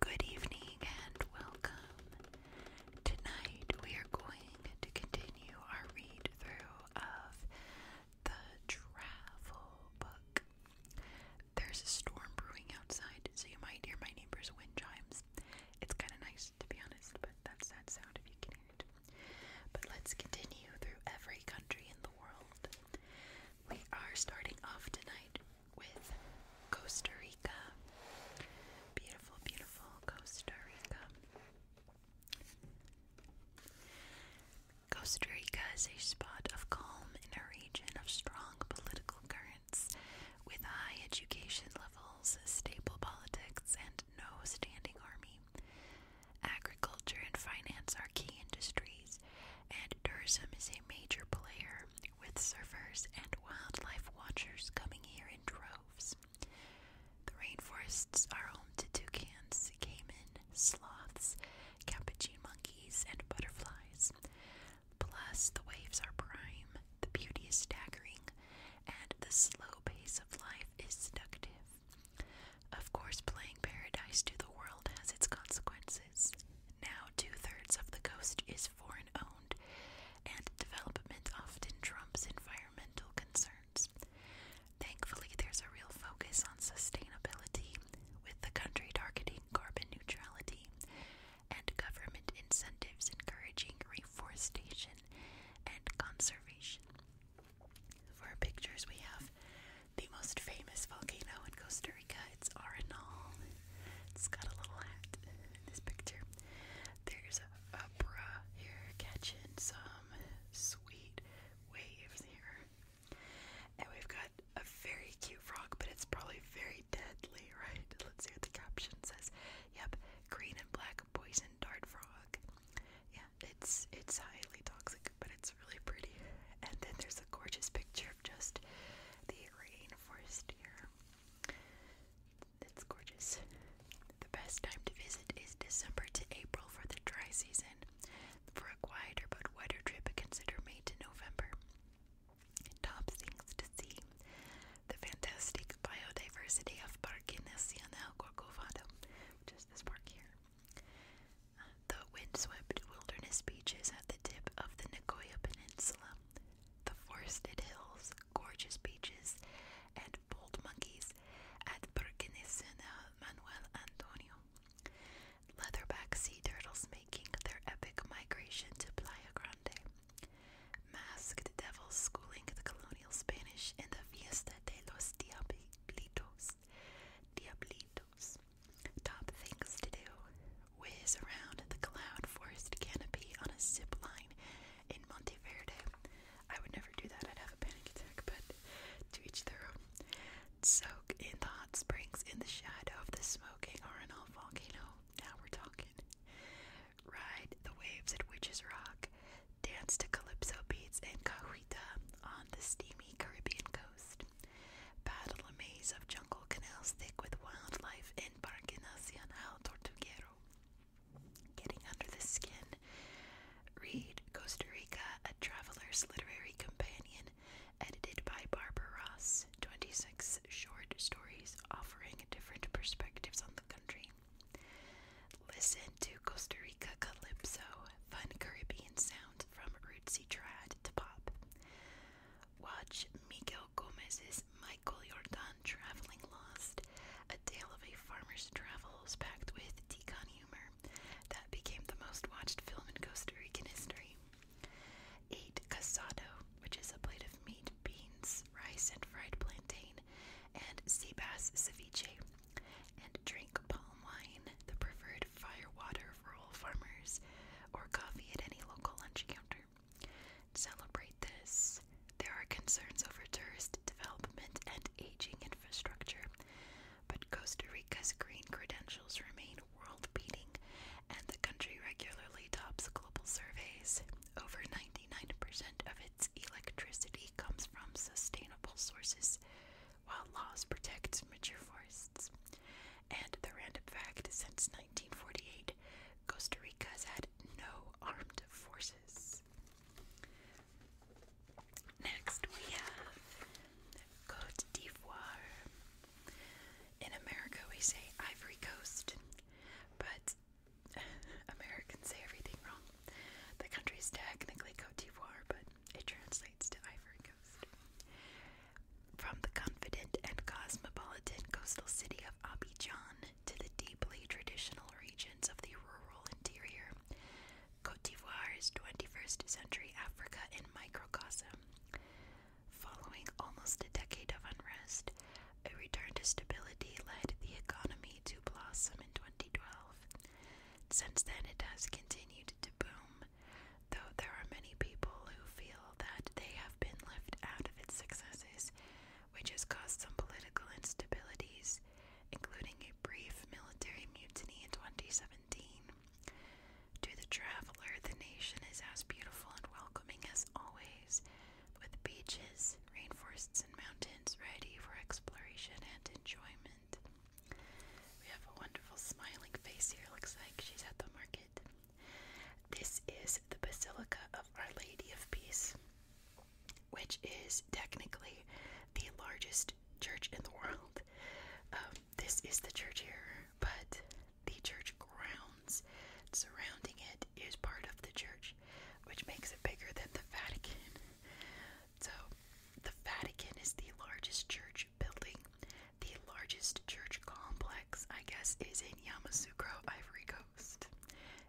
Good evening and welcome. Tonight we are going to continue our read through of the travel book. There's a storm brewing outside, so you might hear my neighbor's wind chimes. It's kind of nice, to be honest, but that's that sound if you can hear it. But let's continue through every country in the world. We are starting off tonight with Costa Rica. Beautiful, beautiful Costa Rica. Costa Rica is a spot of calm in a region of strong political current with high education levels, stable politics, and no standing army. Agriculture and finance are key industries, and tourism is a major player, with surfers and wildlife watchers coming here in droves. The rainforests are home to toucans, caiman, sloths, capuchin monkeys, and butterflies. Plus, the waves are prime, the beauty is staggering, and the slow pace of life is seductive. Of course, playing paradise to the world has its consequences. Now, two thirds of the coast is foreign owned, and development often trumps environmental concerns. Thankfully, there's a real focus on sustainability, with the country targeting carbon neutrality, and government incentives encouraging reforestation and conservation. For pictures, we have the most famous volcano in Costa Rica. It's Arenal. It's got a little hat in this picture. There's a bra here catching some sweet waves here. And we've got a very cute frog, but it's probably very deadly, right? Let's see what the caption says. Yep, green and black poison dart frog. Yeah, it's it's highly toxic, but it's really pretty. And then there's a gorgeous picture of just the rainforest here. That's gorgeous. The best time to visit is December to April for the dry season. For a quieter but wetter trip, consider May to November top things to see the fantastic biodiversity of Parque Nacional Corcovado, which is this park here. the windswept wilderness beaches at the tip of the Nicoya Peninsula, the forested hills, gorgeous beaches, and bold monkeys at Parque Nacional Manuel Antonio. Leatherback sea turtles making their epic migration to Playa Grande. Masked devils schooling the colonial Spanish in the Fiesta de los Diablitos. Diablitos. Top things to do. Whiz around the cloud forest canopy on a zip line in Monte Monteverde. I would never do that, I'd have a panic attack, but to reach their own. Soak in the hot springs in the shadow of the smoke smoking RNL volcano. Now we're talking. Ride the waves at Witch's Rock. Dance to calypso beats in Cahuita on the steamy Caribbean coast. Battle a maze of jungle canals thick with wildlife in Parque Nacional Tortuguero. Getting under the skin. Read Costa Rica, a traveler's literary companion edited by Barbara Ross, 26 short stories offering different perspectives on the country. Listen to Costa Rica Calypso, fun Caribbean sound from rootsy trad to pop. Watch Miguel Gomez's Michael Jordan Traveling Lost, a tale of a farmer's travels packed with decon humor that became the most watched film in Costa Rican history. Eat casado, which is a plate of meat, beans, rice, and fried plantain, and sea bass ceviche. And drink palm wine, the preferred firewater of rural farmers, or coffee at any local lunch counter. celebrate this, there are concerns over tourist development and aging infrastructure, but Costa Rica's green credentials remain world beating, and the country regularly tops global surveys. Over 99% of its electricity comes from sustainable sources, while laws protect mature forests. And the random fact since 1948, Costa Rica has had no armed forces. Next, we have Cote d'Ivoire. In America, we say Ivory Coast, but Americans say everything wrong. The country is technically Cote d'Ivoire, but it translates to Ivory Coast. From the confident and cosmopolitan coastal city of Abidjan to the deeply traditional regions of the rural interior, Cote d'Ivoire is 21st century Africa in microcosm. Following almost a decade of unrest, a return to stability led the economy to blossom in 2012. Since then, it has continued to boom, though there are many people who feel that they have been left out of its successes, which has caused some political instabilities, including a brief military mutiny in 2017. To the traveler, the nation is as beautiful and welcoming as always, with beaches, rainforests, and mountains ready for exploration and enjoyment. We have a wonderful smiling face here, looks like she's at the market. This is the Basilica of Our Lady of Peace, which is technically the largest church in the world. Um, this is the church here, but the church grounds surrounding it is part of the church, which makes it bigger than the Vatican. So, the Vatican is the largest church building. The largest church complex, I guess, is in Yamoussoukro, Ivory Coast.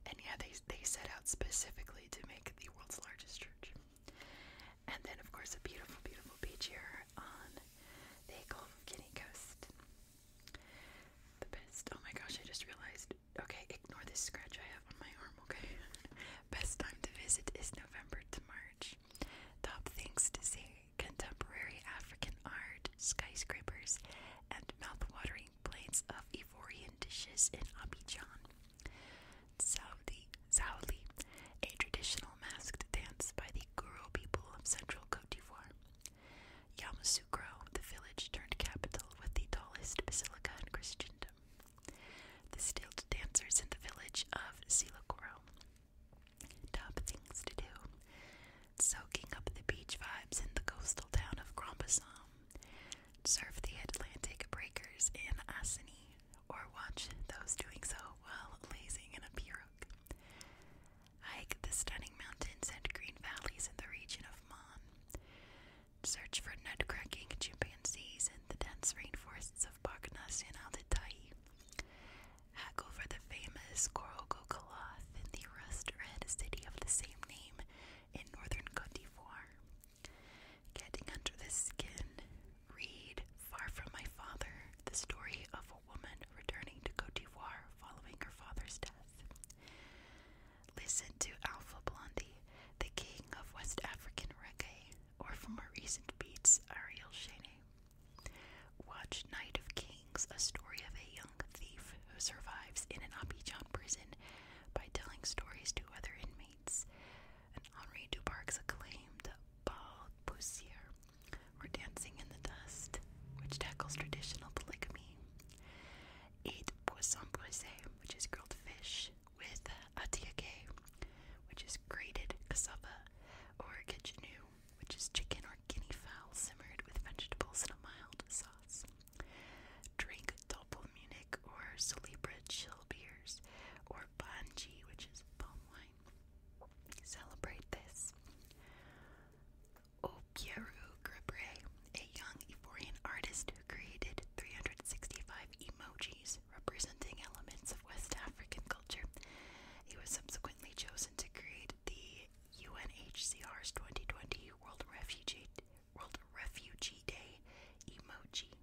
And yeah, they, they set out specifically to make the world's largest church. And then, of course, a beautiful, beautiful beach here on the Gulf of Guinea coast. The best. Oh my gosh, I just realized. Okay, ignore this scratch I have on my arm, okay? Best time to visit is November to March. Top things to see contemporary African art, skyscrapers, and mouth-watering plates of Ivorian dishes in Abidjan. Saudi, Saudi, a traditional masked dance by the Guru people of central Cote d'Ivoire. Yamasukro, the village turned capital with the tallest basilica in Christendom. The skilled dancers in the village of Silokoro. Top things to do. Soaking up the beach vibes in the coastal town of Grombasam. Surf the Atlantic breakers in Asani, or watch those doing so while lazing in a pirogue. Hike the stunning mountains and green valleys in the region of Mon. Search for nutcracking chimpanzees in the dense rainforests of Parc National de Hack over the famous Korogo Cloth in the rust red city of the same name in northern Cote d'Ivoire. Getting under the skin, read Far From My Father, the story of woman returning to Cote d'Ivoire following her father's death. Listen to Alpha Blondie, the king of West African reggae, or for more recent beats, Ariel Shane. Watch Night of Kings, a story of a young thief who survives in an Abidjan prison by telling stories to other inmates. And Henri Duparc's acclaimed Paul Poussier we're dancing in the dust, which tackles traditional polygamy. Eat poisson brisé, which is grilled fish with uh, atiake, which is grated cassava, or kitchenu, which is chicken or guinea fowl simmered with vegetables and a mild sauce. Drink Doppelmunich or Solibra chill beers, or Banji, which is palm wine. Celebrate this. Okiru Gribre, a young Ivorian artist who created 365 emojis representing elements of West African culture. He was subsequently chosen to create the UNHCR's 2020 World Refugee, World Refugee Day emoji.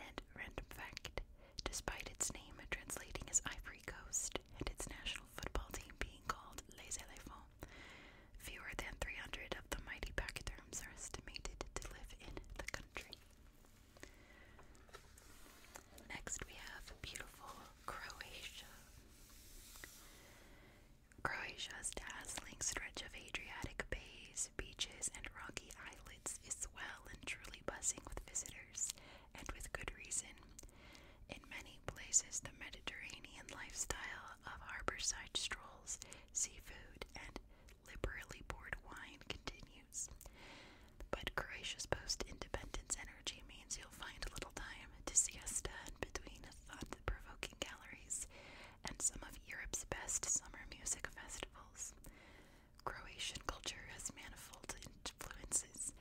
And random fact, despite its name translating as Ivory Coast, and its national football team being called Les Elephants. Fewer than 300 of the mighty pachyderms are estimated to live in the country. Next, we have beautiful Croatia. Croatia's dazzling stretch of Adriatic bays, beaches, and rocky islets is well and truly buzzing with visitors, and with good reason, in many places, the Mediterranean lifestyle of harborside strolls, seafood, and liberally poured wine continues. But Croatia's post independence energy means you'll find a little time to siesta in between thought provoking galleries and some of Europe's best summer music festivals. Croatian culture has manifold influences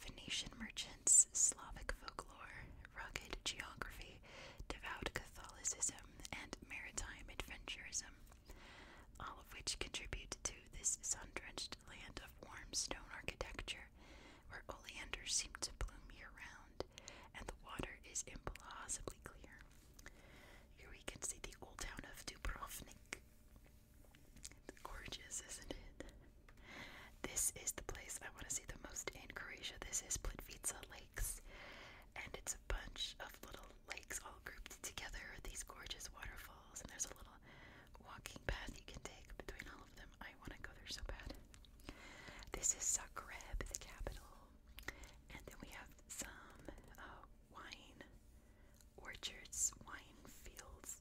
Phoenician merchants, Slavic folklore, rugged geography, devout Catholicism, and maritime adventurism, all of which contribute to this sun drenched land of warm stone architecture where oleanders seem to bloom year round and the water is implausibly clear. Here we can see the old town of Dubrovnik. It's gorgeous, isn't it? This is the place I want to see the most in Croatia. This is Plitvice Lakes, and it's a bunch of little lakes all grouped together. These gorgeous waterfalls, and there's a little walking path you can take between all of them. I want to go there so bad. This is Zagreb, the capital, and then we have some uh, wine orchards, wine fields,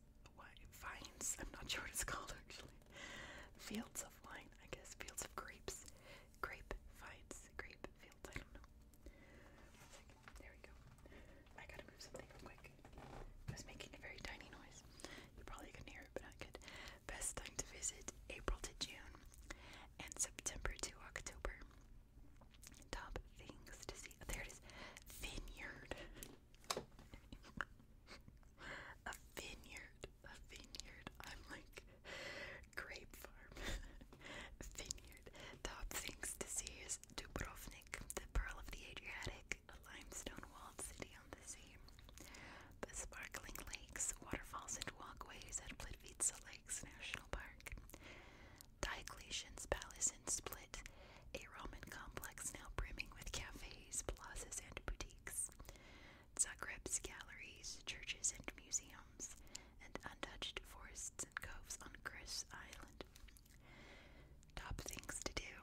vines, I'm not sure what it's called actually. Fields of wine, I guess, fields of grapes. Grape vines, grape fields, I don't know. One second, there we go. I gotta move something quick. I was making a very tiny noise. You probably couldn't hear it, but I could. Best time to visit April to June and September to October. Top things to see. there it is. Vineyard a vineyard, a vineyard. I'm like grape farm, vineyard. Top things to see is Dubrovnik, the pearl of the Adriatic, a limestone-walled city on the sea. The sparkling lakes, waterfalls, and walkways at Plitvice Lakes National Park. Diocletian's Palace in Split, a Roman complex now brimming with cafes, plazas, and boutiques. Zagreb's galleries, churches, and museums, and untouched forests and coves on Chris Island. Top things to do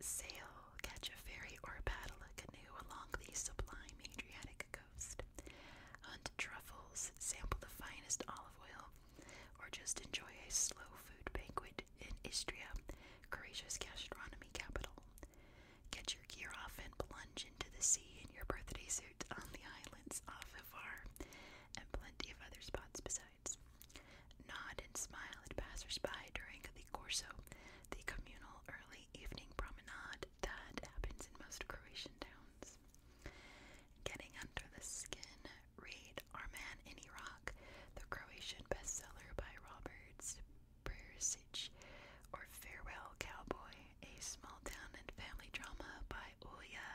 sail, catch a ferry, or paddle a canoe along the sublime Adriatic coast. Hunt truffles, sample the finest olive oil, or just enjoy a slow food banquet in Istria, Croatia's gastronomy capital. Get your gear off and plunge into the sea in your birthday suit on the islands off of Ivar, and plenty of other spots besides. Nod and smile at passersby during the Corso, the communal early evening promenade that happens in most Croatian towns. Getting under the skin Read Our Man in Iraq, the Croatian bestseller by Robert Persic, or Farewell Cowboy, a small town and family drama by Ulya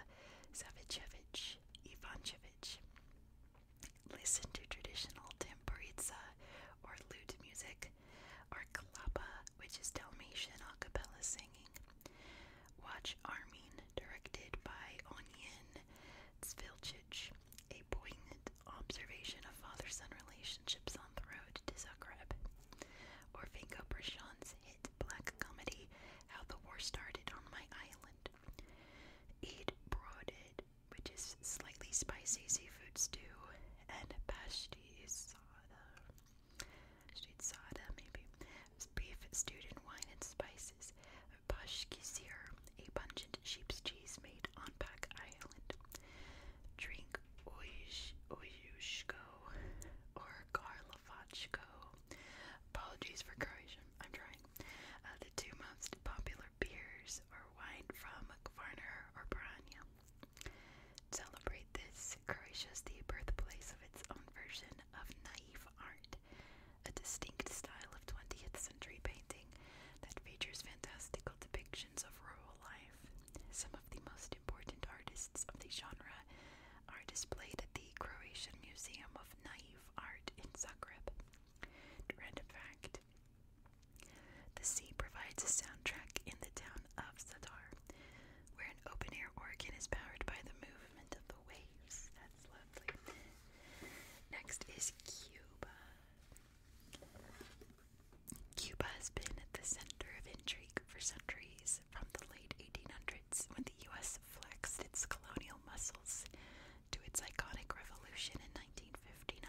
Savicevic Ivanchevich. Listen to traditional tamburica or lute music, or klapa, which is Dalmatian a cappella singing. Watch Armin, directed by Onion Svilcic, a poignant observation of father-son relationships on the road to Zagreb. Orfenko Brishon's hit black comedy, How the War Started on My Island. Eat brooded, which is slightly spicy seafood stew, and pashti sada. Street soda, maybe. Beef stewed in wine and spices. Bashkisir, a pungent sheep's cheese made on Pak Island. Drink oyush, Oyushko or Karlovatchko. Apologies for Croatian, I'm trying. Uh, the two most popular beers are wine from Varna or Branja. Celebrate this. Croatia is the birthplace of its own version of naive art a distinct style of 20th century painting that features fantastical depictions of rural life. Some of the most important artists of the genre are displayed at the Croatian Museum of Naive Art in Zagreb. Random fact The sea provides a soundtrack in the town of Zadar, where an open air organ is powered by the movement of the waves. That's lovely. Next is Cuba. Cuba has been at the center of intrigue for centuries, from the late 1800s when the US flexed its colonial muscles to its iconic revolution in 1959.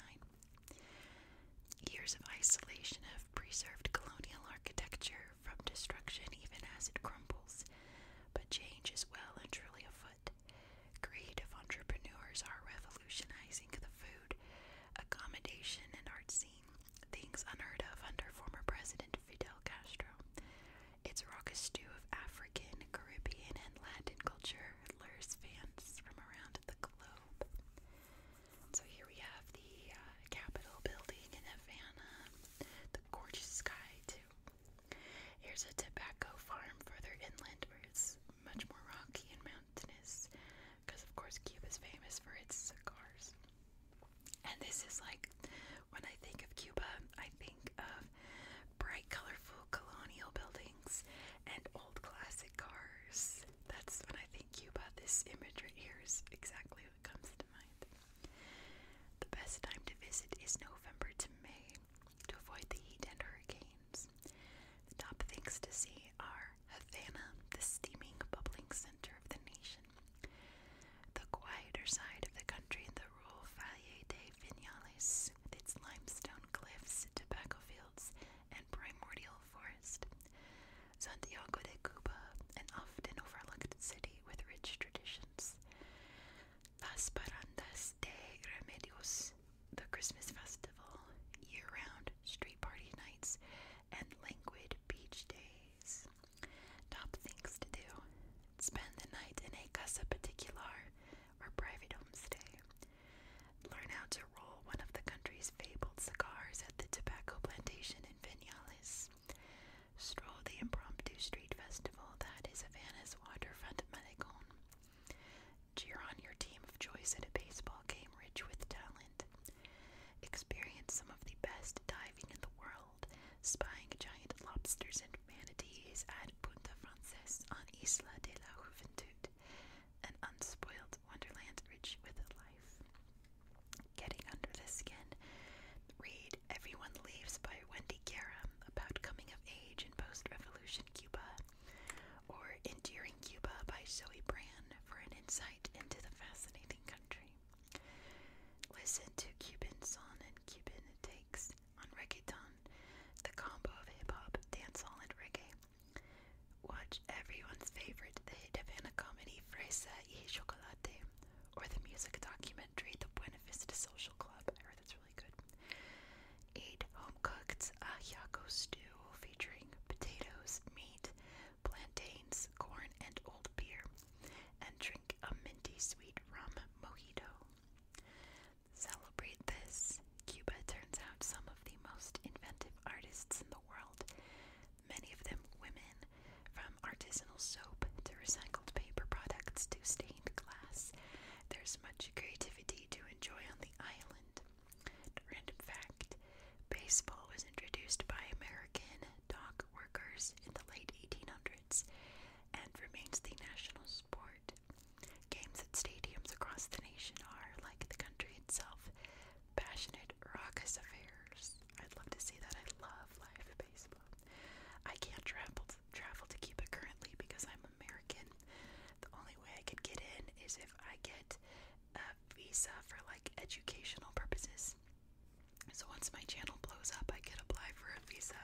Years of isolation have preserved colonial architecture from destruction even as it crumbles, but change is well and truly afoot. Creative entrepreneurs are revolutionizing the food, accommodation, and art scene, things unheard of under former President Fidel Castro. Its raucous stew of African, Caribbean, and Latin culture lures fans from around the globe. So here we have the uh, building in Havana, the gorgeous sky, too. Here's a tobacco farm further inland where it's much more rocky and mountainous because, of course, Cuba is famous for its cigars. And this is like when I think of Cuba, I think of bright, colorful colonial buildings and old classic cars. That's when I think Cuba. This image right here is exactly what comes to mind. The best time to visit is November to May to avoid the heat and hurricanes. top things to see are Havana, the steaming, bubbling center of the nation, the quieter side of the country, the rural Valle de Vinales, with its limestone cliffs, tobacco fields, and primordial forest. Santiago de Cuba, an often overlooked city with rich traditions. Las Parandas de Remedios, the Christmas festival, year round street party nights, and languid beach days. Top things to do spend the night in a casa particular or private home stay. Learn how to roll one of the country's fabled cigars at the tobacco plantation in Vinales. Stroll the impromptu street festival that is Havana's waterfront malecon. Cheer on your team of choice at a baseball game rich with talent. Experience some of the best diving in the world, spying giant lobsters and manatees at Punta Frances on Isla de la Juventud, an unspoiled wonderland rich with life. Getting under the skin. Read Everyone Leaves by Wendy Guerra about coming of age in post-revolution Cuba, or Endearing Cuba by Zoe Brand for an insight into the fascinating country. Listen to Cuban Son and Cuban Takes on Reggaeton, the combo of hip-hop, dancehall, and reggae. Watch everyone's favorite, the hit Havana comedy Fresa y Chocolate, or the music documentary The Buena Vista Social Club. I heard that's really really good. home cooked ajiaco uh, stew featuring potatoes, meat, plantains, corn, and old beer. And drink a minty sweet rum mojito. Celebrate this. Cuba turns out some of the most inventive artists in the world, many of them women, from artisanal soap to recycled paper products to stained glass. There's much creativity to enjoy on the island. Random fact baseball was introduced by American dock workers in the late 1800s and remains the national sport. Games at stadiums across the nation are, like the country itself, passionate, raucous affairs. I'd love to see that. I love live baseball. I can't travel to, travel to Cuba currently because I'm American. The only way I could get in is if I get a visa for like educational purposes. So once my channel blows up, I could apply for a visa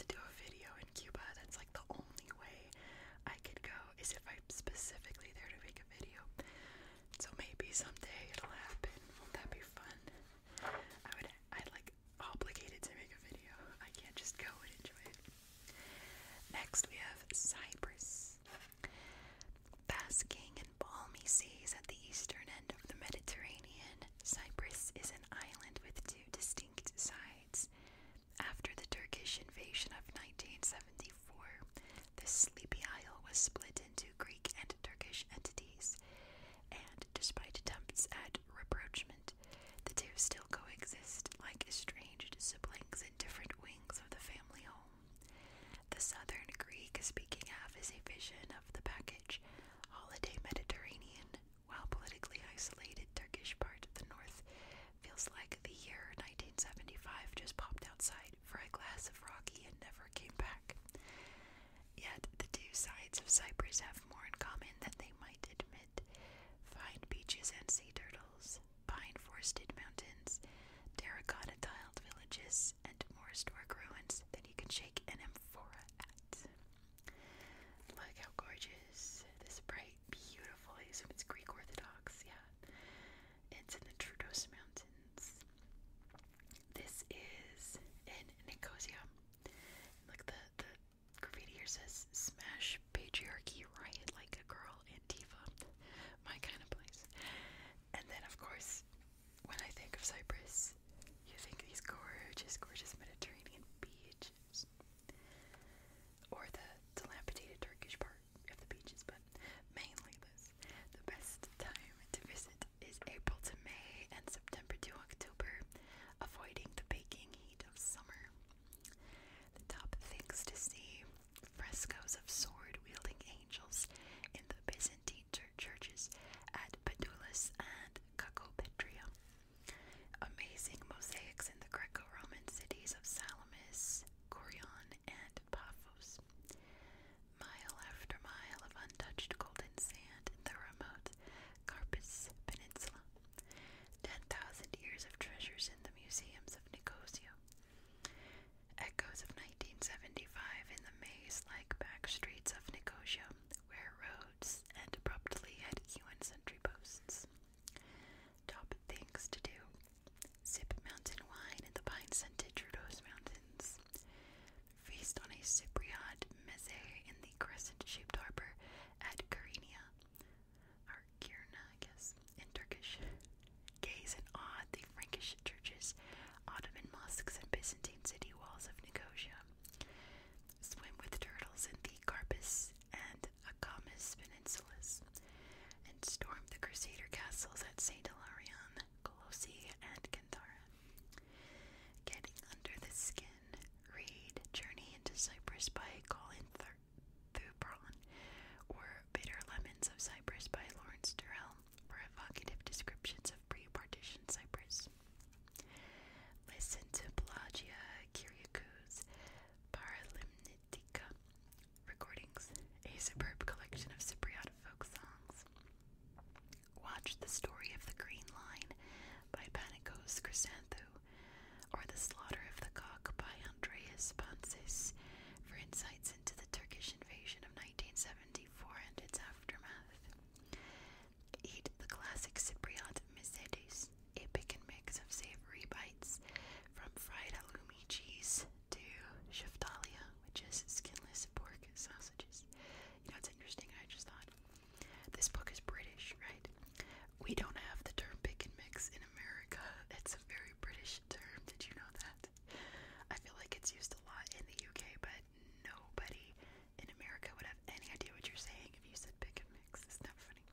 to do a video in Cuba. That's like the only way I could go is if I'm specifically there to make a video. So maybe someday it'll happen. Won't be fun? I would I like like to make a video. I can't just go and enjoy it. Next, we have Cyprus. Basking in balmy seas at the eastern end of the Mediterranean, Cyprus is an island with two distinct sides. After the Turkish invasion of 1974, the sleepy isle was split into Greek and Turkish entities, and despite attempts at rapprochement, the two still coexist like estranged siblings in different wings of the family home. The southern Greek speaking half is a vision of the package holiday Mediterranean, while politically isolated Turkish part of the north feels like the year 1975 just popped outside for a glass of rocky and never came back. Yet the two sides of Cyprus have more in common than they might admit summit, fine beaches and sea turtles, pine forested mountains, terracotta tiled villages, and more historic ruins that you can shake an amphora at. Look how gorgeous this bright, beautiful. I assume it's Greek Orthodox, yeah. It's in the Trudos Mountains. This is in Nicosia. Look, the, the Graffiti says smash patriarchy riot like a girl Antifa. My kind of place. And then of course when I think of Cyprus, you think these gorgeous, gorgeous Mediterranean beaches. Or the dilapidated Turkish part of the beaches, but mainly this. The best time to visit is April to May and September to October, avoiding the baking heat of summer. The top things to see frescoes of sword wielding angels in the Byzantine churches at Pedulus and Cacopetria. Amazing mosaics in the Greco Roman cities of Salamis, Corion, and Paphos. Mile after mile of untouched golden sand in the remote Carpus Peninsula ten thousand years of treasures in the museums of Nicosia. Echoes of 1975 in the maze-like back streets of Nicosia, where roads end abruptly at UN sentry posts. Top things to do. Sip mountain wine in the pine-scented Trudeau's Mountains. Feast on a Cypriot meze in the crescent-shaped harbor at Carinia or I guess, in Turkish. Gaze in awe at the Frankish churches, Ottoman mosques, and Byzantine city walls of Nicosia. Swim with turtles in the Carpus and Akamas peninsulas, and storm the Crusader castles at St. Hilarion, Colossi, and Canthara. Getting under the skin read Journey into Cyprus by Colin Thubron or Bitter Lemons of Cyprus by Lawrence Durrell for evocative descriptions of pre-partition Cyprus. Listen to Pelagia Kyriakou's recordings, a superb collection of Cypriot folk songs. Watch The Story of the Green Line by Panikos Chrysanthou or The Slaughter of the Cock by Andreas Pansis for insights into the Turkish invasion of 1974 and its aftermath. Eat the classic Cypriot Misedes, a and mix of savory bites from fried halloumi cheese to sheftalia, which is skinless pork sausages. You know, it's interesting, I just thought. This book is British, right? We don't have the term pick and mix in America. It's a very British term. Did you know that? I feel like it's used a lot in the UK, but nobody in America would have any idea what you're saying if you said pick and mix. It's not funny?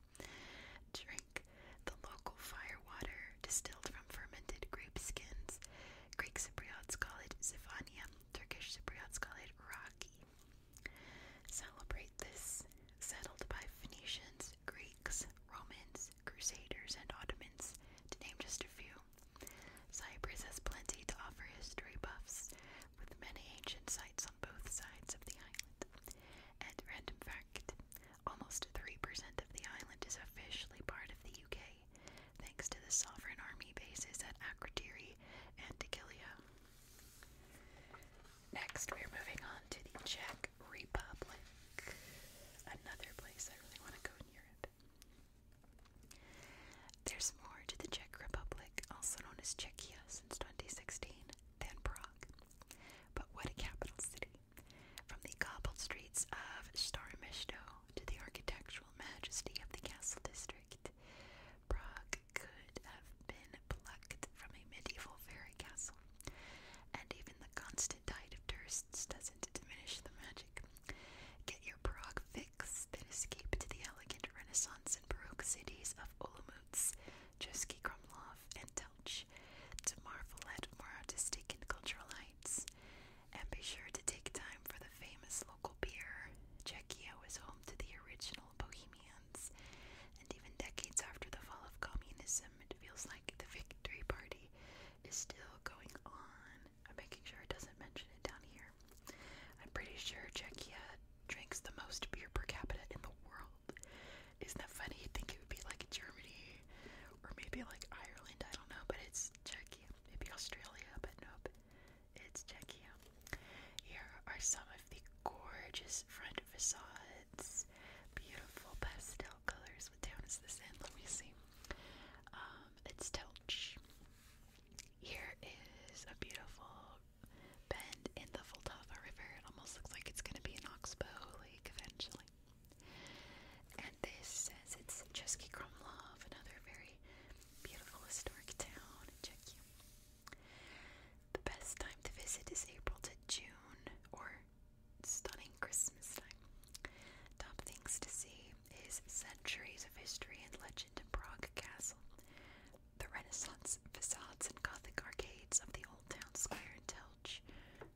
Drink the local fire water distilled from fermented grape skins. Greek Cypriots call it Zivania. Turkish Cypriots call it Rocky. Celebrate this, settled by Phoenicians, Greeks, Romans, Crusaders, and Ottomans, to name just a few. Cyprus has plenty to offer history buffs, with many ancient sites on both sides of the island. And in fact, almost 3% of the island is officially part of the UK, thanks to the sovereign army bases at Akrotiri and Dhekelia. Next, we're moving on to the Czech Republic, another place I really want to go in Europe. There's more to the Czech Republic, also known as Czechia since 2016, than Prague. But what a capital city! From the cobbled streets of Staré to the architectural majesty of the castle district, Prague could have been plucked from a medieval fairy castle. And even the constant tide of tourists doesn't diminish the magic. Get your Prague fix, then escape to the elegant Renaissance and Baroque cities of Olomouc, Jersky Krumlov, and Telch to marvel at more artistic and cultural heights. And be sure to take time for the famous local beer. Czechia was home to the original Bohemian and even decades after the fall of communism, it feels like the victory party is still going on. I'm making sure it doesn't mention it down here. I'm pretty sure Czechia drinks the most beer per capita in the world. Isn't that funny? You'd think it would be like Germany or maybe like Ireland, I don't know, but it's Czechia. Maybe Australia, but nope. It's Czechia. Here are some of the gorgeous front facades. Beautiful pastel colors. What town is this in? Let me see. it's Telch. Here is a beautiful bend in the Vltava River. It almost looks like it's gonna be an oxbow lake eventually. And this says it's Chesky Krumlov, another very beautiful historic town in you. The best time to visit is April to June or stunning Christmas time. Top things to see is centuries of history and legend in Prague Castle, the Renaissance facades and Gothic arcades of the old town square in Telch.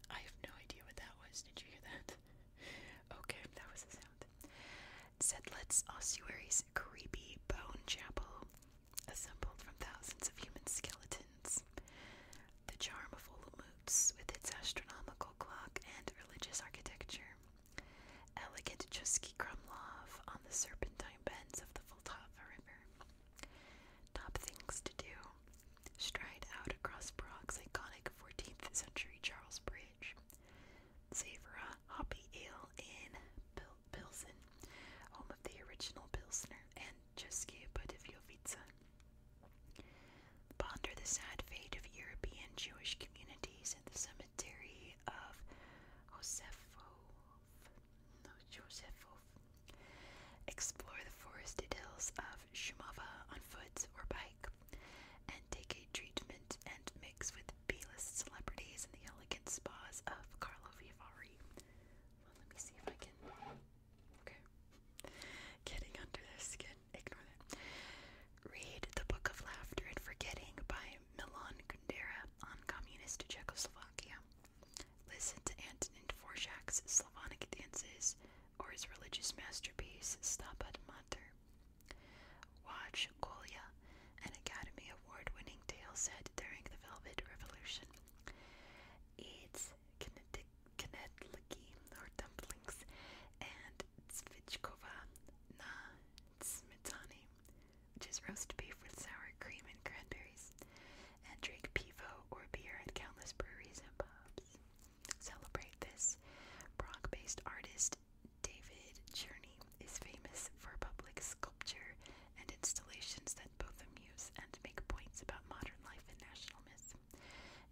I have no idea what that was. Did you hear that? okay, that was the sound. Sedlet's ossuary's creepy bone chapel, assembled from thousands of human skeletons. The charm of Olomouc, with its astronomical clock and religious architecture, elegant Chusky Kromlov on the serpentine bends of the Vltava River. Top things to do. Stride out across Prague's iconic 14th century Charles Bridge. Savor a hoppy ale in Pilsen, home of the original Pilsner and České Budějovice. Ponder the sad fate of European Jewish communities in the cemetery of Josefov. Explore the forested hills of Shumava on foot or bike, and take a treatment and mix with b celebrities in the elegant spas of Carlo Vivari. Well, let me see if I can. Okay. Getting under their skin. Ignore that. Read The Book of Laughter and Forgetting by Milan Kundera on Communist Czechoslovakia. Listen to Antonin Dvorak's Slavonic Dances or his religious masterpiece, Stabat Mater. Watch Kolya an Academy Award winning tale set during the Velvet Revolution. It's Knedliki or dumplings and Zvichkova na smetani, which is roast beef with sour cream and cranberries, and drink pivo or beer at countless breweries and pubs. Celebrate this. Prague based artist David Journey is famous for public sculpture and installations that both amuse and make points about modern life and national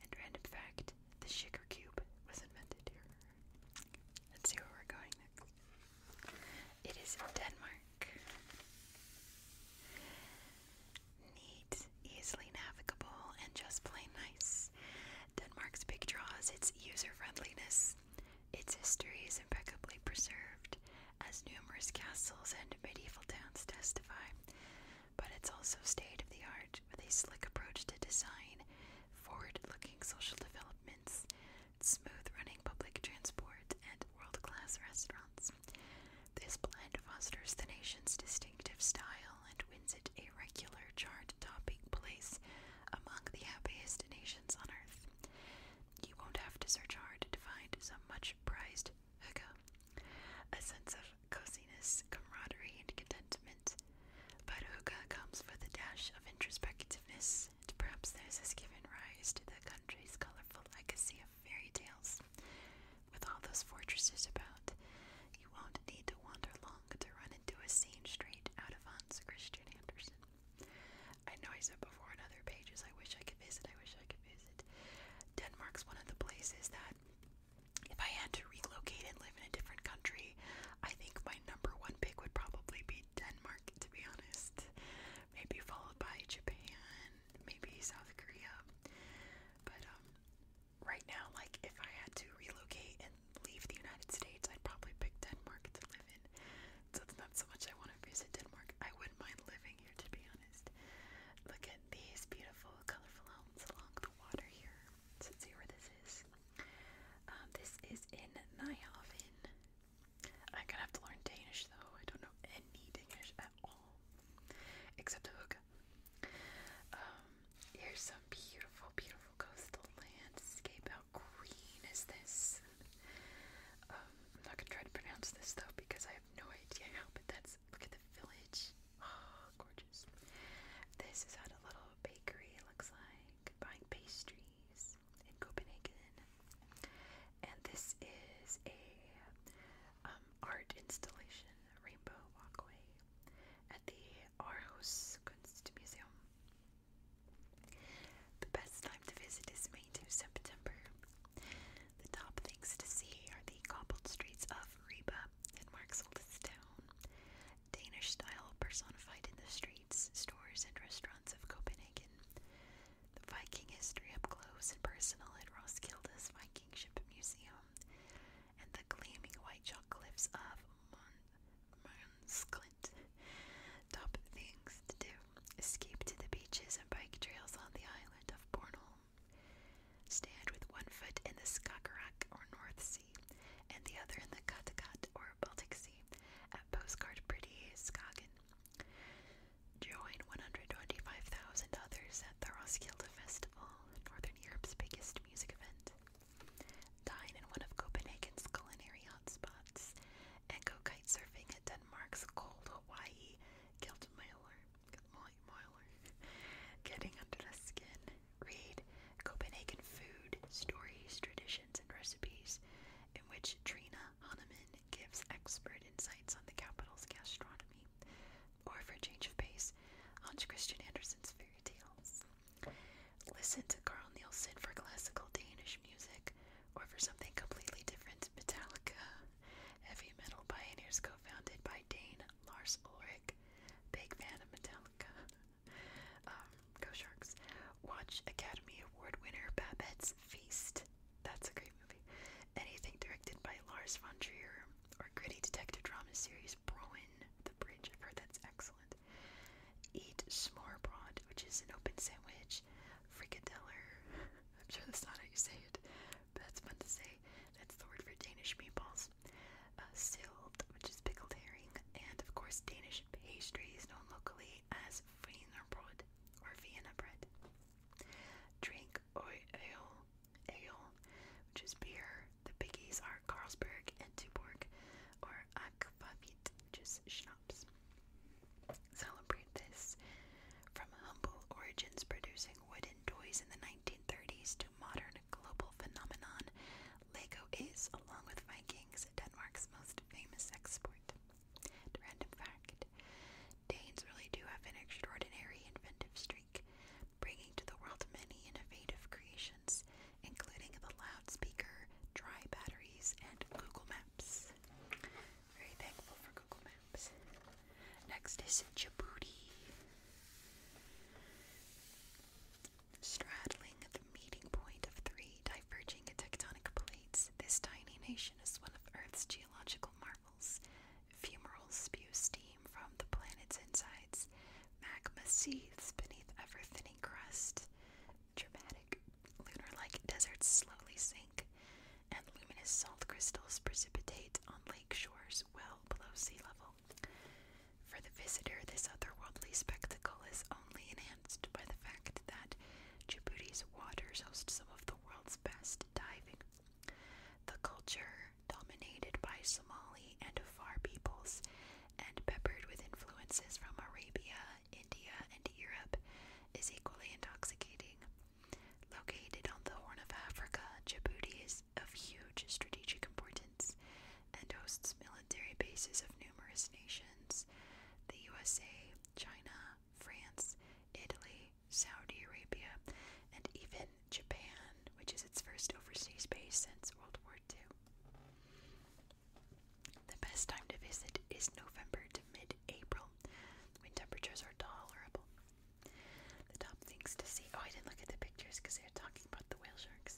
And random fact, the sugar cube was invented here. Let's see where we're going It is Denmark. Neat, easily navigable, and just plain nice. Denmark's big draw its user friendliness its history is impeccably preserved, as numerous castles and medieval towns testify, but it's also state of the art with a slick approach to design, forward looking social developments, smooth running public transport, and world class restaurants. This blend fosters the nation's distinctive style and wins it a regular chart topping place among the happiest nations on earth. You won't have to search hard to find some much prized hookah. A sense of coziness, camaraderie, and contentment. But hookah comes with a dash of introspectiveness, and perhaps this has given rise to the country's colorful legacy of fairy tales. With all those fortresses about, you won't need to wander long to run into a scene straight out of Hans Christian Andersen. I know I said before on other pages, I wish I could visit, I wish I could visit. Denmark's one of the places that, if I had to relocate and live in a different country, I think my number one pick would probably be Denmark, to be honest. Maybe followed by Japan, maybe South Korea. But, um, right now, like, if I had to relocate and leave the United States, I'd probably pick Denmark to live in so it's not so much I want to visit Denmark. I wouldn't mind living here, to be honest. Look at these beautiful, colorful homes along the water here. So see where this is. Um, this is in Nyhavn. I'm gonna have to learn Danish though. I don't know any Danish at all, except hook. Um, here's some beautiful, beautiful coastal landscape. How green is this? I'm not gonna try to pronounce this though because I have no idea how, but that's look at the village. Oh, gorgeous. This is at a little bakery, looks like, buying pastries in Copenhagen. And this is a um, art installation, rainbow walkway at the Aarhus Kunstmuseum. The best time to visit is May to September. The top things to see are the cobbled streets of Riba, Denmark's oldest town. Danish style personified in the streets, stores, and restaurants of Copenhagen. The Viking history up close and personal at Roskilde's Viking Ship Museum. And the gleaming white chalk cliffs of Mons Top things to do escape to the beaches and bike trails on the island of Bornholm. Stand with one foot in the Skagerrak or North Sea and the other in the Kattegat or Baltic Sea at postcard Pretty Skagen. Join 125,000 others at the Roskilde Festival, Northern Europe's biggest music event. Dine in one of Copenhagen's culinary hotspots and go kite surfing at Denmark's cold Hawaii. Gildmailer, Gildmailer, getting under the skin. Read Copenhagen food stories, traditions, and recipes, in which Trina Hahnemann gives expert insights on the capital's gastronomy. Or for a change of pace, Hans Christian Andersen's fairy tales. Listen to Carl Nielsen for classical Danish music or for something completely different, Metallica. Heavy Metal Pioneers, co founded by Dane Lars Ulrich. Big fan of Metallica. Um, go Sharks. Watch Academy Award winner Babette's Feast. That's a great movie. Anything directed by Lars von Trier or gritty detective drama series Broen, the Bridge. I've heard that's excellent. Eat Smørbrød, which is an open sandwich French I'm sure that's not how you say it, but that's fun to say. That's the word for Danish meatballs. Uh, which is pickled herring, and of course Danish pastries known locally as Wienerbrod or Vienna bread. Drink or ale, ale, which is beer. The biggies are Carlsberg and Tuborg, or Aquavit, which is schnapps. Celebrate this from humble origins producing wooden toys in the 1930s to modern global phenomenon. Lego is, along with Vikings, Denmark's most famous export. random fact Danes really do have an extraordinary inventive streak, bringing to the world many innovative creations, including the loudspeaker, dry batteries, and Google Maps. Very thankful for Google Maps. Next is Djibouti. Straddling the meeting point of three diverging tectonic plates, this tiny nation is one of Earth's geological marvels. Fumaroles spew steam from the planet's insides. Magma seethes beneath ever-thinning crust. Dramatic lunar-like deserts slowly sink and luminous salt crystals precipitate on lake shores well below sea level. For the visitor, this otherworldly spectacle is only enhanced by the fact that Djibouti's waters host some of the world's best diving. The culture, dominated by Somali and Afar peoples, and peppered with influences from Arabia, India, and Europe, is equally intoxicating. Located on the Horn of Africa, Djibouti is of huge strategic importance and hosts military bases of numerous nations the USA, China, France, Italy, Saudi Arabia, and even Japan, which is its first overseas base since World War II. The best time to visit is November to mid April when temperatures are tolerable. The top things to see oh, I didn't look at the pictures because they were talking about the whale sharks.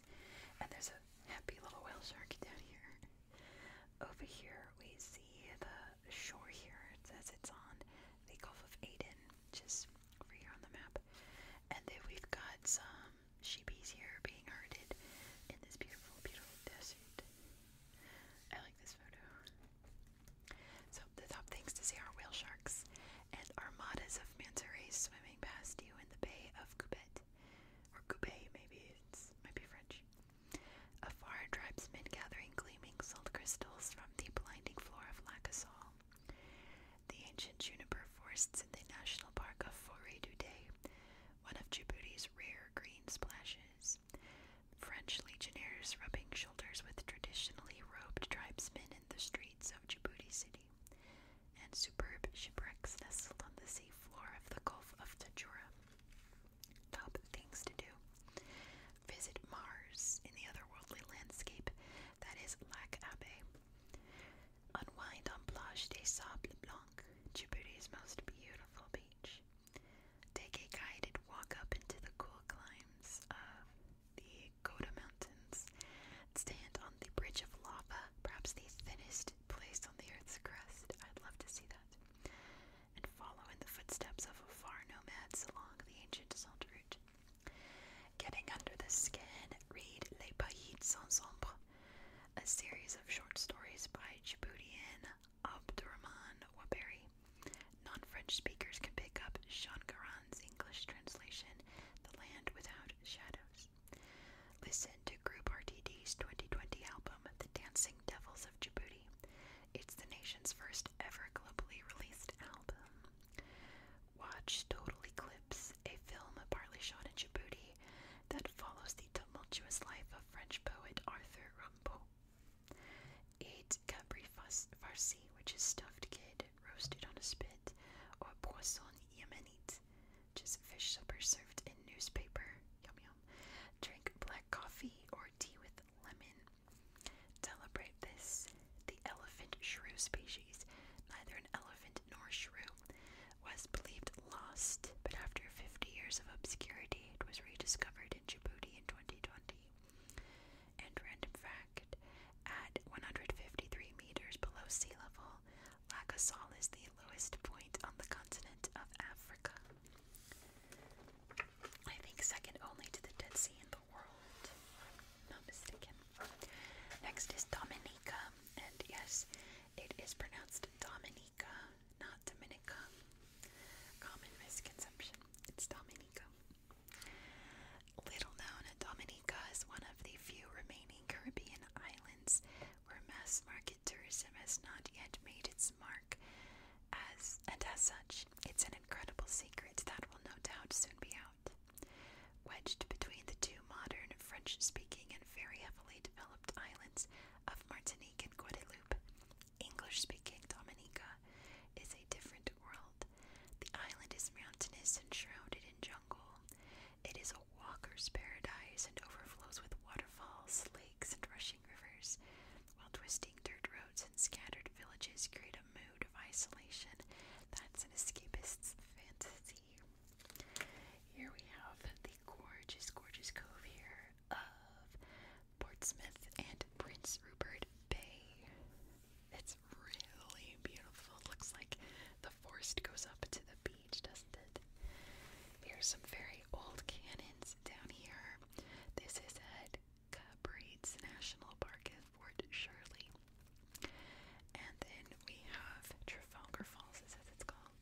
And there's a happy little whale shark down here. Over here, we see the shore here. It says it's on the Gulf of Aden, just is over here on the map. And then we've got some sheepies here being herded in this beautiful, beautiful desert. I like this photo. So, the top things to see are whale sharks and armadas of manta rays swimming past you in the bay of Coupet. Or Coupet, maybe. It's might be French. Afar, tribesmen gathering gleaming salt crystals from the blinding floor of Lacassol. The ancient juniper forests in the National Park of Forêt du Day, one of Djibouti's rare green splashes. French legionnaires rubbing shoulders with traditionally robed tribesmen in the streets of Djibouti City, and superb shipwrecks nestled on the sea floor of the Gulf of Tajura. Top things to do. Visit Mars in the otherworldly landscape that is Lac Abbé. Unwind on Plage des Sables Blancs, Djibouti's most beautiful beach. Take a guided walk up into the cool climbs of the Goda Stand on the bridge of lava, perhaps the thinnest place on the Earth's crust. I'd love to see that. And follow in the footsteps of far nomads along the ancient salt route. Getting under the skin, read Les Pays Sans Ombre, a series of short stories by Djiboutian Abdurrahman Waberi. Non French speakers can pick up Shankaran's English translation, The Land Without Shadows. Listen to Group RTD's 2020 album, The Dancing Devils of Djibouti. It's the nation's first ever globally released album. Watch Total Eclipse, a film partly shot in Djibouti that follows the tumultuous life of French poet Arthur Rimbaud. Eat cabri farci, which is stuffed kid roasted on a spit, or poisson yemenite, which is fish supper served in newspaper. Yum yum. Drink black coffee or tea with lemon. Celebrate this. The elephant shrew species, neither an elephant nor shrew, was believed lost, but after 50 years of obscurity, 1998 was rediscovered in Djibouti in 2020. And random fact, at 153 meters below sea level, Lacassol is the lowest point on the continent of Africa. I think second only to the Dead Sea in the world. not mistaken. Next is Dominica, and yes, it is pronounced Dominica not Dominica. Common misconception. It's Dominica. Little known, Dominica is one of the few remaining Caribbean islands where mass market tourism has not yet made its mark. As and as such, it's an incredible secret that will no doubt soon be out. Wedged between the two modern French speaking and very heavily developed islands of Martinique and Guadeloupe, English speaking Dominica is a different world. The island is mountainous and shrouded in jungle. It is a walker's paradise and overflows with waterfalls, lakes, and rushing rivers, while twisting dirt roads and scattered villages create a mood of isolation that's an escapist's fantasy. Here we have the gorgeous, gorgeous cove here of Portsmouth and Prince Rupert Bay. It's really beautiful. It looks like the forest goes up to the beach, doesn't it? Here's some very old cannons down here. This is at Cabreeds National Park at Fort Shirley. And then we have Trafalgar Falls, is as it's called.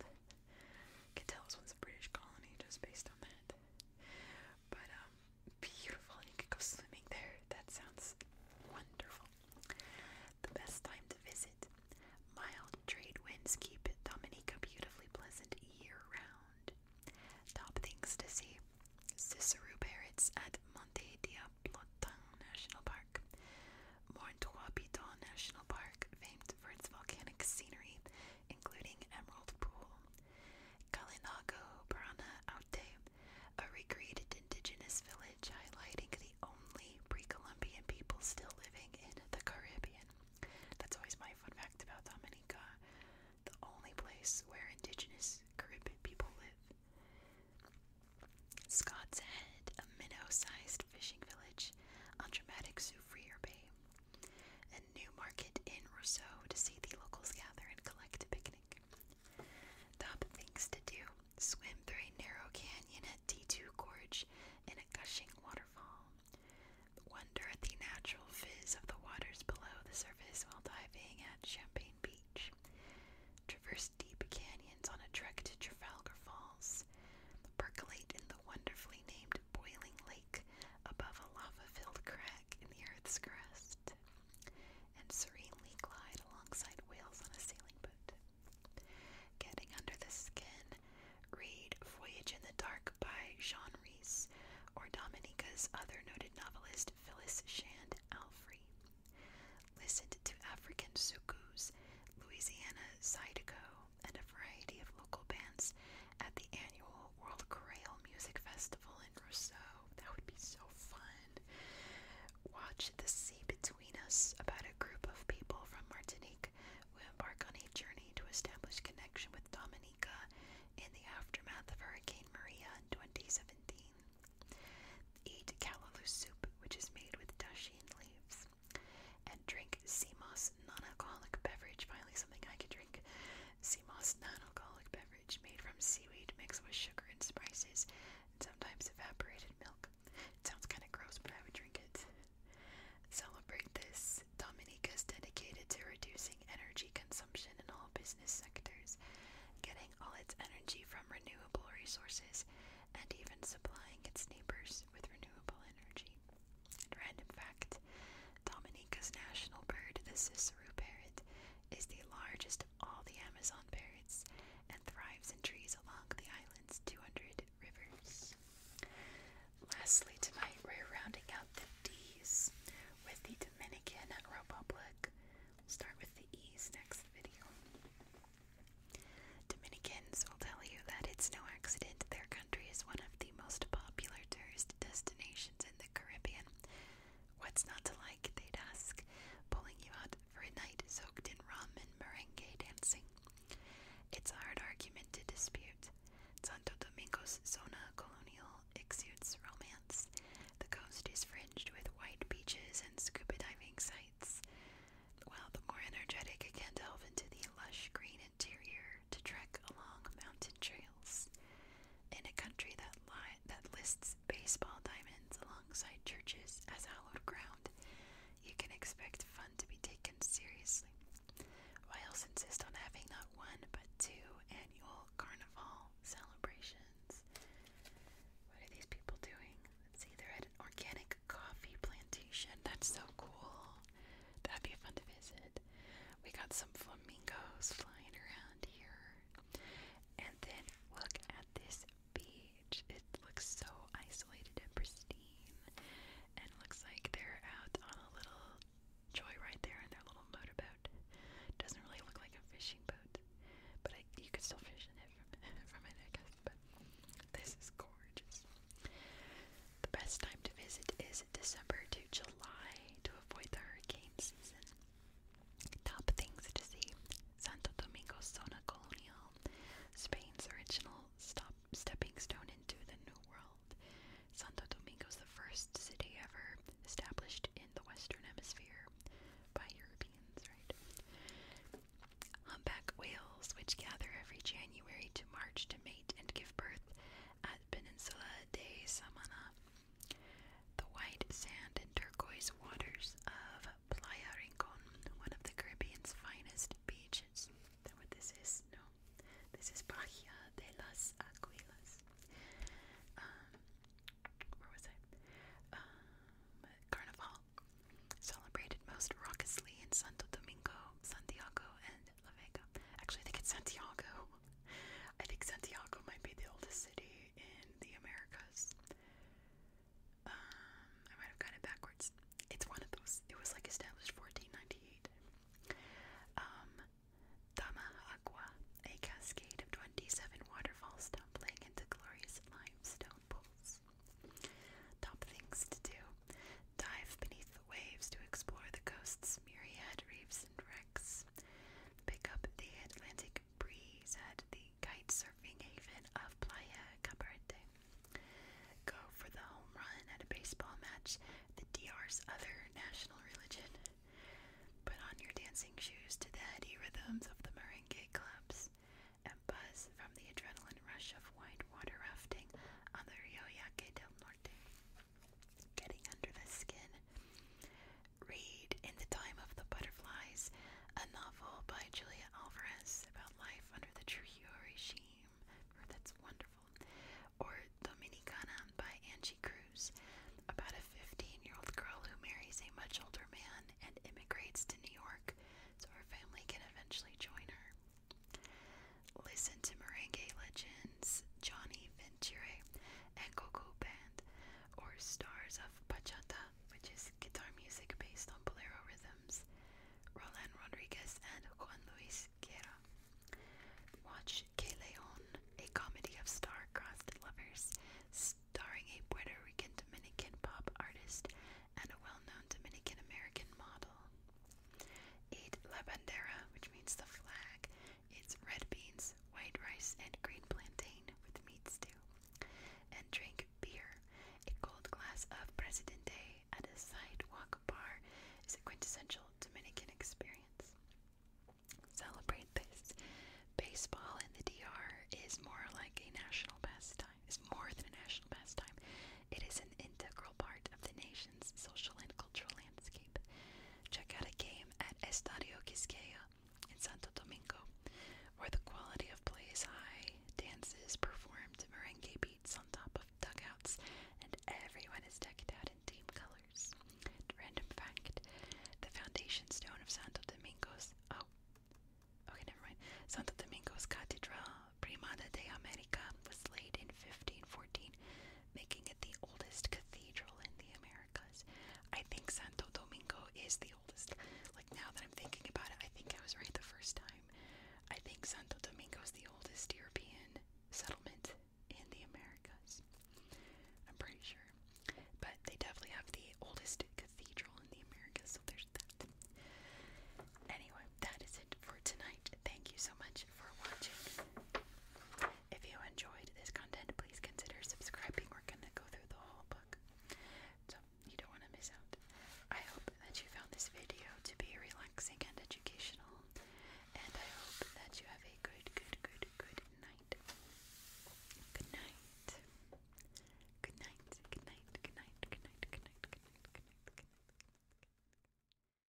Can tell this one's a British colony just based on that. But um, beautiful, and you could go swimming there. That sounds wonderful. The best time to visit. Mild trade winds keep Dominica beautifully pleasant year round. Top things to see. Cicero parrots at Monte Diablotin National Park. Morintois National Park, famed for its volcanic scenery, including Emerald Pool. Kalinago Parana Aute, a recreated indigenous village highlighting the only pre-Columbian people still living in the Caribbean. That's always my fun fact about Dominica, the only place where indigenous Caribbean people live. Scott's Head, a minnow-sized fishing village on dramatic Soufriere Bay, and market in Rousseau to see the locals gather and collect a picnic. Top things to do swim through a narrow canyon at D2 Gorge in a gushing waterfall. Wonder at the natural fizz of the waters below the surface while diving at Champagne Beach. Traverse deep canyons on a trek to Trafalgar Falls. Percolate in the wonderfully named boiling lake above a lava filled crack in the earth's crust, and serenely glide alongside whales on a sailing boat. Getting Under the Skin, read Voyage in the Dark by Jean Rhys or Dominica's other noted novelist Phyllis Shand Alfrey. Listened to African Sukus, Louisiana Zydeco, and a variety of local bands at the annual World Creole Music Festival in Rousseau. That would be so fun. Watch The Sea Between Us about a group of people from Martinique who embark on a journey to establish connection with Dominica in the aftermath of Hurricane Maria in 2017. Eat callaloo soup, which is made with dashi and leaves, and drink Simos non-alcoholic beverage. Finally, something I could drink. Seamoss non-alcoholic beverage made from seaweed mixed with sugar and spices, and sometimes evaporated milk. It sounds kind of gross, but I would drink it. Celebrate this. Dominica is dedicated to reducing energy consumption in all business sectors, getting all its energy from renewable resources, and even supplying its neighbors with renewable energy random fact Dominica's national bird, the Cicero parrot, is the largest of all the Amazon parrots and thrives in trees along the island's 200 rivers. Lastly, tonight we're rounding out the D's with the Dominican Republic. We'll start with the E's next video. Dominicans will tell you that it's no accident their country is one of the most popular tourist destinations in the Caribbean. What's not to like, they ask, pulling you out for a night soaked in rum and merengue dancing. It's a hard argument to dispute. Santo Domingo's zona colonial exudes romance. The coast is fringed with white beaches and scuba diving sites, while the more energetic can delve into the lush green interior to trek along mountain trails. In a country that, li that lists baseball diamonds alongside churches as hallowed ground, you can expect fun to be taken seriously. Wiles insist on having not one but two annual carnival celebrations. What are these people doing? Let's see, they're at an organic coffee plantation. That's so cool. That'd be fun to visit. We got some flamingos flying around here. And then look at this beach. It looks so isolated and pristine. And looks like they're out on a little joyride there in their little motorboat. Doesn't really look like a fishing boat, but you could still fish in it from, from it, But this is gorgeous. The best time to visit is December to July to avoid the hurricane season. Top things to see Santo Domingo's zona colonial, Spain's original stop stepping stone into the New World. Santo Domingo's the first city ever established in the Western Hemisphere by Europeans, right? Humpback whales, which gather every January to March to mate and give birth, at Peninsula de Samana. The white sand and turquoise waters of Playa Rincon, one of the Caribbean's finest beaches. Is what this is? No. This is Bahia de las Aguilas. Um, where was I? Um, Carnival. Celebrated most raucously in Santo Domingo, Santiago, and and Actually, I think it's Santiago. I think Santiago might be the oldest city in the Americas. Um, I might have got it backwards. It's one of those. It was like established 1498. Um, a cascade of 27 waterfalls tumbling into glorious limestone pools. Top things to do: dive beneath waves to explore the coast's myriad reefs and wrecks. Pick up the Atlantic breeze at the kite surfing haven of Playa Cabarete. Go for the home run at a baseball match, the DR's other national religion. Put on your dancing shoes to the heady rhythms of the merengue clubs and buzz from the adrenaline rush of white water rafting on the Rio Yaqui del Norte getting under the skin. Read In the Time of the Butterflies, a novel by Julia Alvarez about life under the Trujillo regime. That's wonderful. Or Dominicana by Angie Cruz, about a 15 year old girl who marries a much older man and immigrates to New York so her family can eventually join her. Listen to Merengue Legends, Johnny Venture, and Coco Band, or Stars of Bachata, which is guitar music based on bolero rhythms, Roland Rodriguez and Juan Luis Guerra. Watch Que a comedy of star-crossed lovers, starring a Puerto Rican Dominican pop artist and a well-known Dominican American model. Eat Labandera, which means the flag. It's red beans, white rice, and green plantain with meat stew. And drink beer. A cold glass of President Day at a sidewalk bar is a quintessential Dominican experience. Celebrate this. Baseball in the DR is more like a national pastime. than a national pastime. It is an integral part of the nation social and cultural landscape. Check out a game at Estadio Quisqueya in Santo Domingo, where the quality of plays high, dances performed, merengue beats on top of dugouts, and everyone is decked out in team colors. Random fact the foundation stone of Santo Domingo's. Oh. Okay, never mind. Santo Domingo's Catedral Primada de America was laid in 1514 making it the oldest cathedral in the Americas. I think Santo Domingo is the oldest. Like now that I'm thinking about it, I think I was right the first time. I think Santo Domingo is the oldest European settlement in the Americas. I'm pretty sure. But they definitely have the oldest cathedral in the Americas, so there's that. Anyway, that is for tonight. Thank you so much for watching. If you enjoyed this content, please consider subscribing. We're gonna go through the whole book. So you don't want to miss out. I hope that you found this video to be relaxing and educational. And I hope that you have a good, good, good, Good night. Good night. Good night. Good night. Good night. Good night. Good night. Good night. Good night.